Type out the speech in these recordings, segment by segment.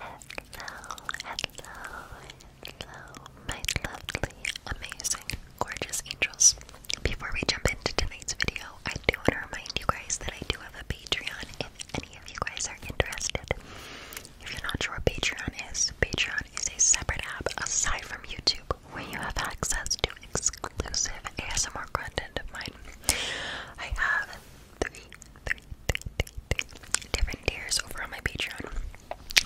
Hello, hello, hello, my lovely, amazing, gorgeous angels. Before we jump into tonight's video, I do want to remind you guys that I do have a Patreon if any of you guys are interested. If you're not sure what Patreon is, Patreon is a separate app aside from YouTube where you have access to exclusive ASMR content of mine. I have three, three, three, three, three different tiers over on my Patreon.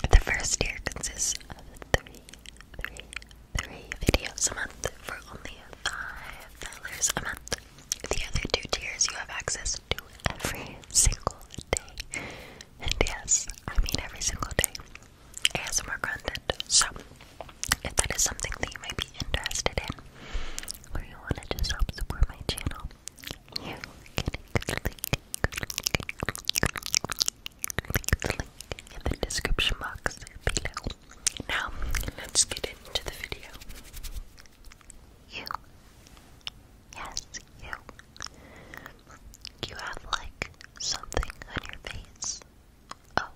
The first tier consists of three, three, three videos a month for only $5 a month. The other two tiers you have access to every single day. And yes, I mean every single day. ASMR content. So if that is something that you might be interested in, or you want to just help support my channel, you can click the link, in the description box below. Now, let's get into the video. You, yes, you, you have like something on your face. Oh,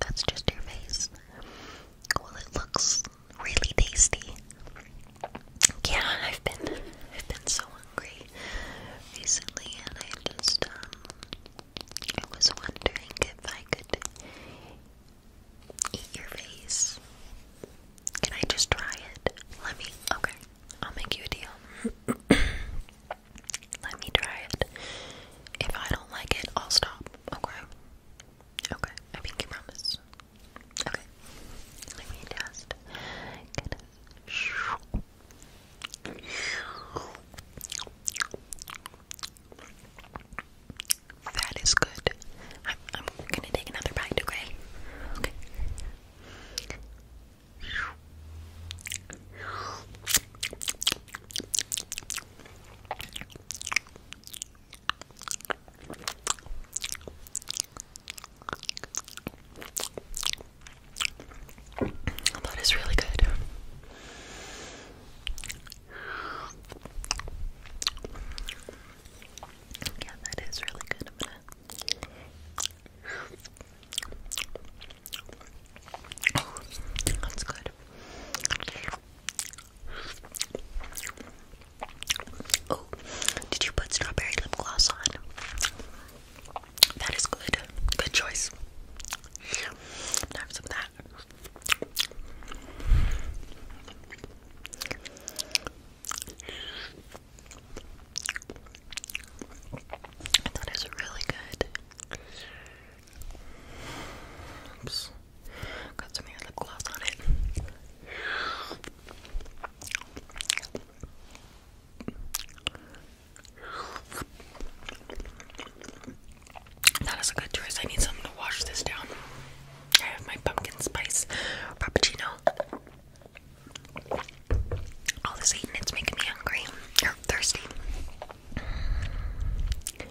that's just your face. Well, it looks really tasty. Yeah, I've been, I've been so hungry recently, and I just, um, I was wondering if I could eat your face. Can I just try it? Let me, okay, I'll make you a deal. Let me try it. If I don't like it, I'll stop. Okay. Okay. I think you promise. Okay. Let me just that is good. I'm, I'm gonna take another bite, okay? Okay. That is really good. Yeah, that is really good. that's good. Oh, did you put strawberry lip gloss on? That is good. Good choice. Now some of that. That is really good. Oops. Got some of lip gloss on it. That is a good choice. I need something to wash this down. I have my pumpkin spice frappuccino. All this eating, it's making me hungry You're thirsty. Oh, that's good.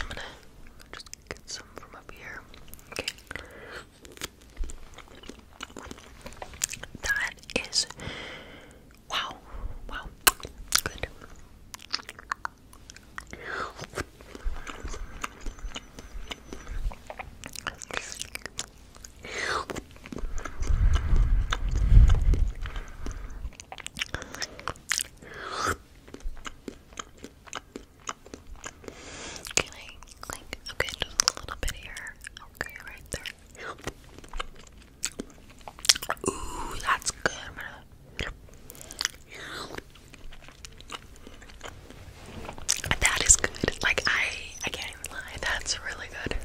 I'm gonna just get some from up here. Okay. That is wow. Wow. Good. Can I okay, just a little bit here? Okay, right there. Ooh, that's good. i that is good. Like I I can't lie. That's really good.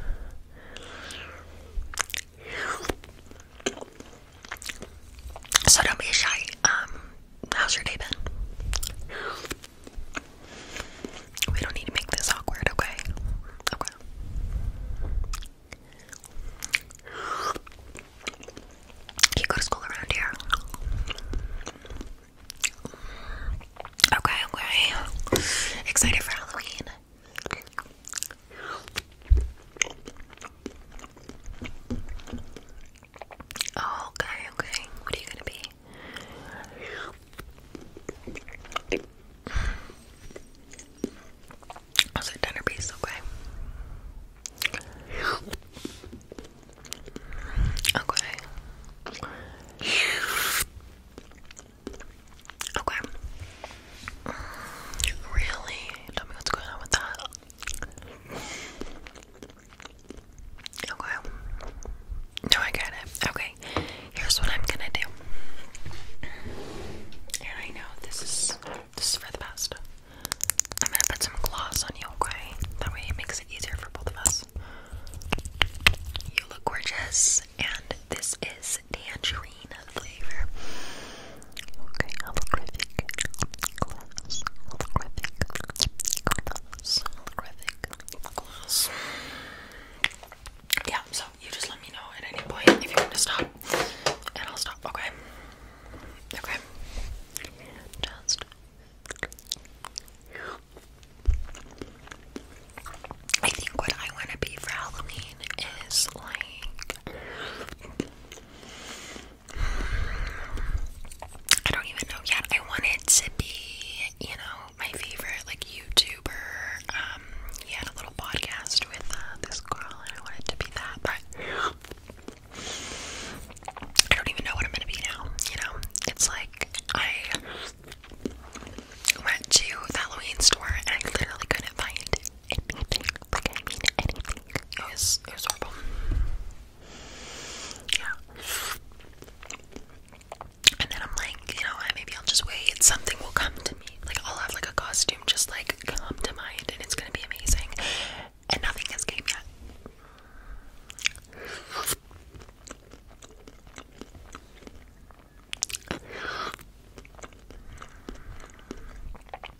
So don't be shy. Um, how's your day been? We don't need to make this awkward, okay? Okay. You go to school around here. Okay, okay. Excited for Halloween. okay, okay. What are you gonna be? was a dinner piece, okay? Okay. Okay. Really? Tell me what's going on with that. Okay. No, I got it. Okay. Here's what I'm gonna do. And I know this is this is for the best. I'm gonna put some gloss on you, okay? That way it makes it easier for both of us. You look gorgeous, and this is tangerine flavor. Okay, holographic gloss, holographic gloss, holographic gloss. Yeah, you just let me know at any point if you want to stop, and I'll stop. Okay. Okay. Just. I think what I want to be for Halloween is like. I don't even know yet. I want it to be, you know, my favorite like YouTuber, um, um, he had a little podcast with uh, this girl, and I wanted to be that, but I don't even know what I'm gonna be now. You know, it's like I went to the Halloween store and I literally couldn't find anything. Like I mean, anything. It was it was horrible. Yeah. And then I'm like, you know what, maybe I'll just wait. Something will come like I'll have like a costume just like come to mind and it's gonna be amazing. And nothing has came yet.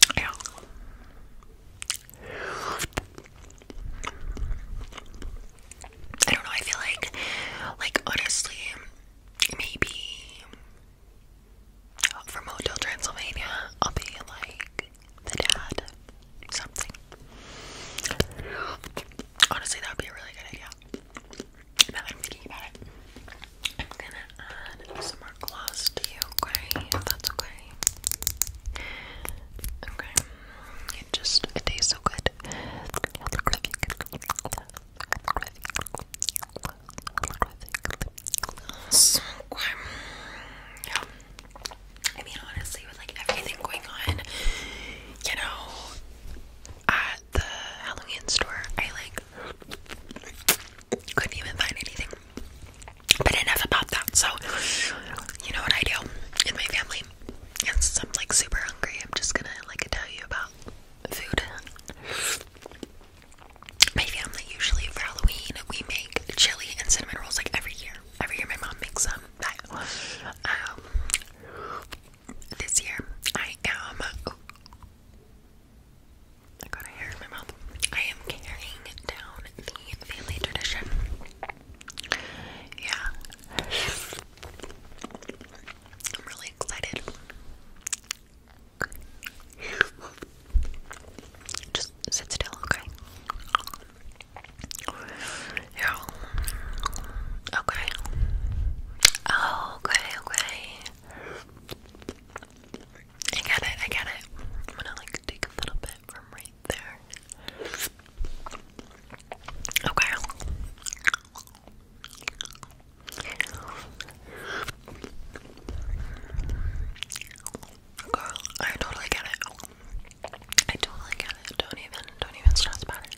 I don't know, I feel like like honestly maybe uh, from Hotel Transylvania, I'll be like the dad, something. Honestly, that would be a really good idea. Now that I'm thinking about it, I'm gonna add some more gloss to you, okay? If that's okay. Okay. It just, it tastes so good. So, um, yeah. I mean, honestly, with like everything going on, you know, at the Halloween store, I like couldn't even find anything. But enough about that. So, you know what I do in my family? since I'm like super hungry, I'm just gonna like tell you about food. My family usually for Halloween we make chili and cinnamon rolls like every year. Every year my mom makes them. Um, this year I am. I got hair in my mouth. I am carrying down the family tradition. Yeah. I'm really excited. Just sit still, okay? Yeah. Okay. okay, okay. I get it, I get it. I'm gonna like take a little bit from right there. Okay. Girl, I totally get it. I totally get it. Don't even, don't even stress about it.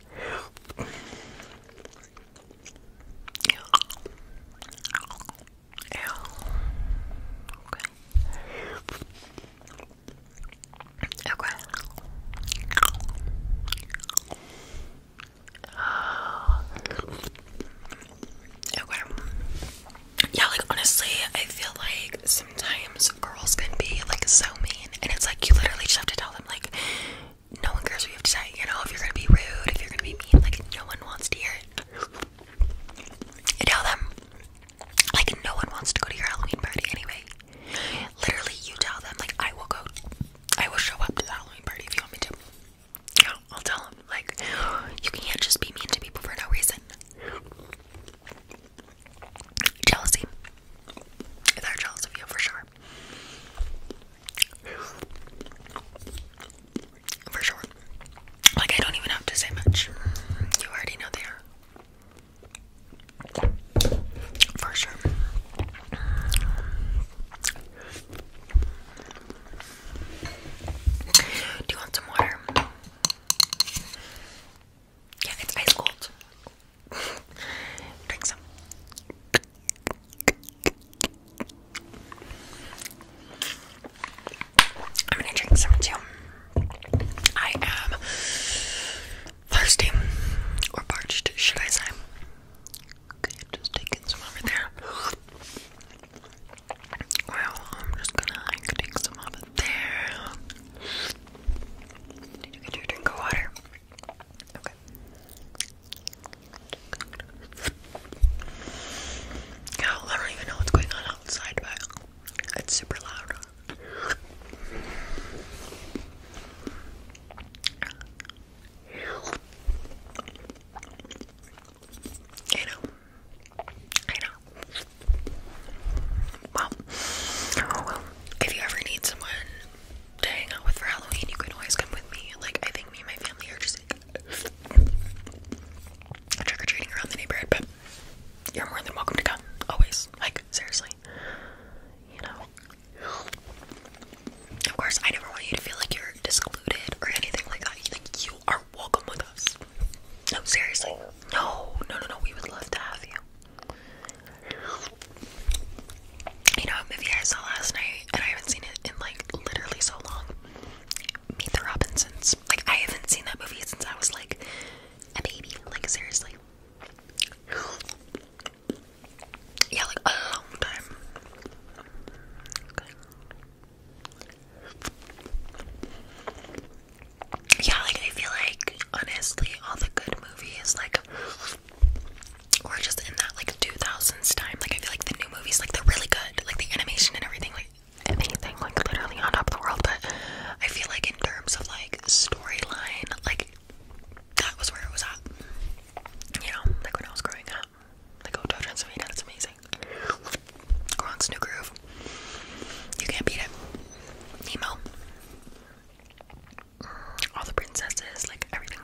Okay. Okay. Yeah, like honestly, I feel like sometimes girls can be like so mean, and it's like you literally just have to tell them like, no one cares what you have to say. You know, if you're gonna be rude, if you're gonna be mean, like no one wants to hear it. tell them like no one wants to go to your Halloween party anyway. Literally, you tell them like I will go, I will show up to the Halloween party if you want me to. Yeah, I'll tell them like you can't just be mean to people for no reason. Jealousy. They're jealous of you for sure. For sure. Like I don't even have to say much. You already know they are. For sure. Do you want some water? Yeah, it's ice cold. Drink some. I'm gonna drink some too. I am thirsty or parched, should I say? Okay, just taking some over there. Well, I'm just gonna take some over there. Did you get your drink of water? Okay. I don't even know what's going on outside, but it's super loud. I know. I know. Well, oh, well, if you ever need someone to hang out with for Halloween, you can always come with me. Like, I think me and my family are just trick or treating around the neighborhood, but you're more than welcome to come. Always. Like, seriously. You know? Of course, I never want you to feel like you're discluded or anything like that. you are welcome with us. No, seriously. No, no, no, no. We would love to have you. You know, a movie I saw last night, and I haven't seen it in like literally so long. Meet the Robinsons. Like, I haven't seen that movie since I was like a baby. Like, seriously. Yeah, like a long time. Yeah, like I feel like honestly, all the good movies like were just in that like 2000s time. Like I feel like the new movies, like they're really good, like the animation and everything, like anything, like literally on top of the world. But I feel like in terms of like storyline, like that was where it was at. You know, like when I was growing up. Like Hotel Transylvania, that's amazing. Go on Snow Groove. You can't beat it. Nemo. All the princesses, like everything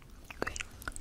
green, green. Yeah.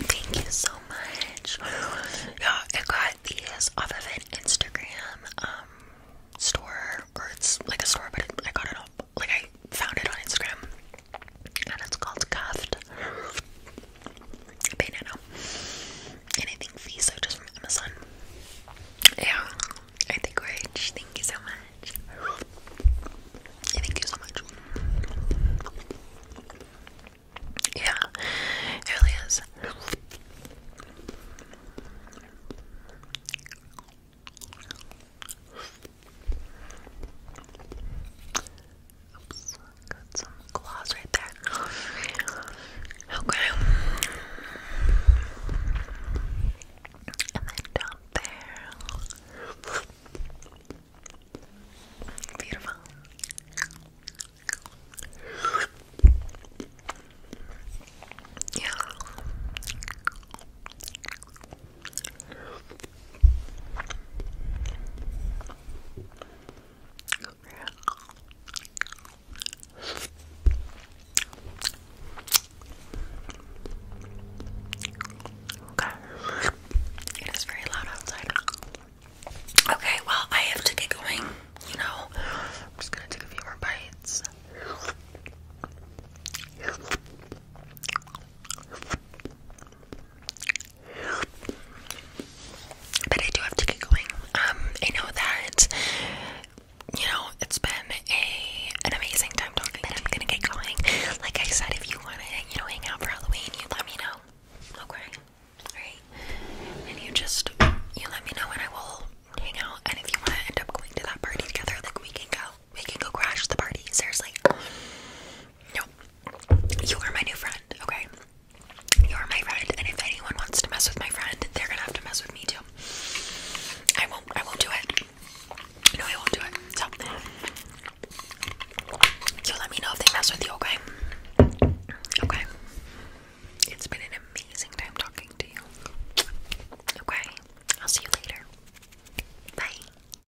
Thank you so much. Yeah, I got these off of an Instagram um, store, or it's like a store, but I got it Like I found it on Instagram, and it's called Cuffed banana. And I think these are from Amazon. Yeah, I think we're rich. Thank you so much. Thank you so much. Yeah, it really is. Oops, got some gloss right there. Okay. And then down there. Beautiful. Yeah. Okay. It is very loud outside. Okay, well, I have to get going, you know. I'm just gonna take a few more bites. But I do have to get going. Um, I know that you know it's been a an amazing time talking, but I'm gonna get going. Like I said, if you wanna, you know, hang out for Halloween, you let me know. Okay. Alright. And you just you let me know and I will hang out and if you wanna end up going to that party together, like we can go. We can go crash the party, seriously. No. You are my new friend, okay? You are my friend, and if anyone wants to mess with my friend, they're gonna have to mess with me too. I won't I won't do it. No, I won't do it. So you let me know if they mess with you, okay? Okay. It's been an amazing time talking to you. Okay. I'll see you later. Bye.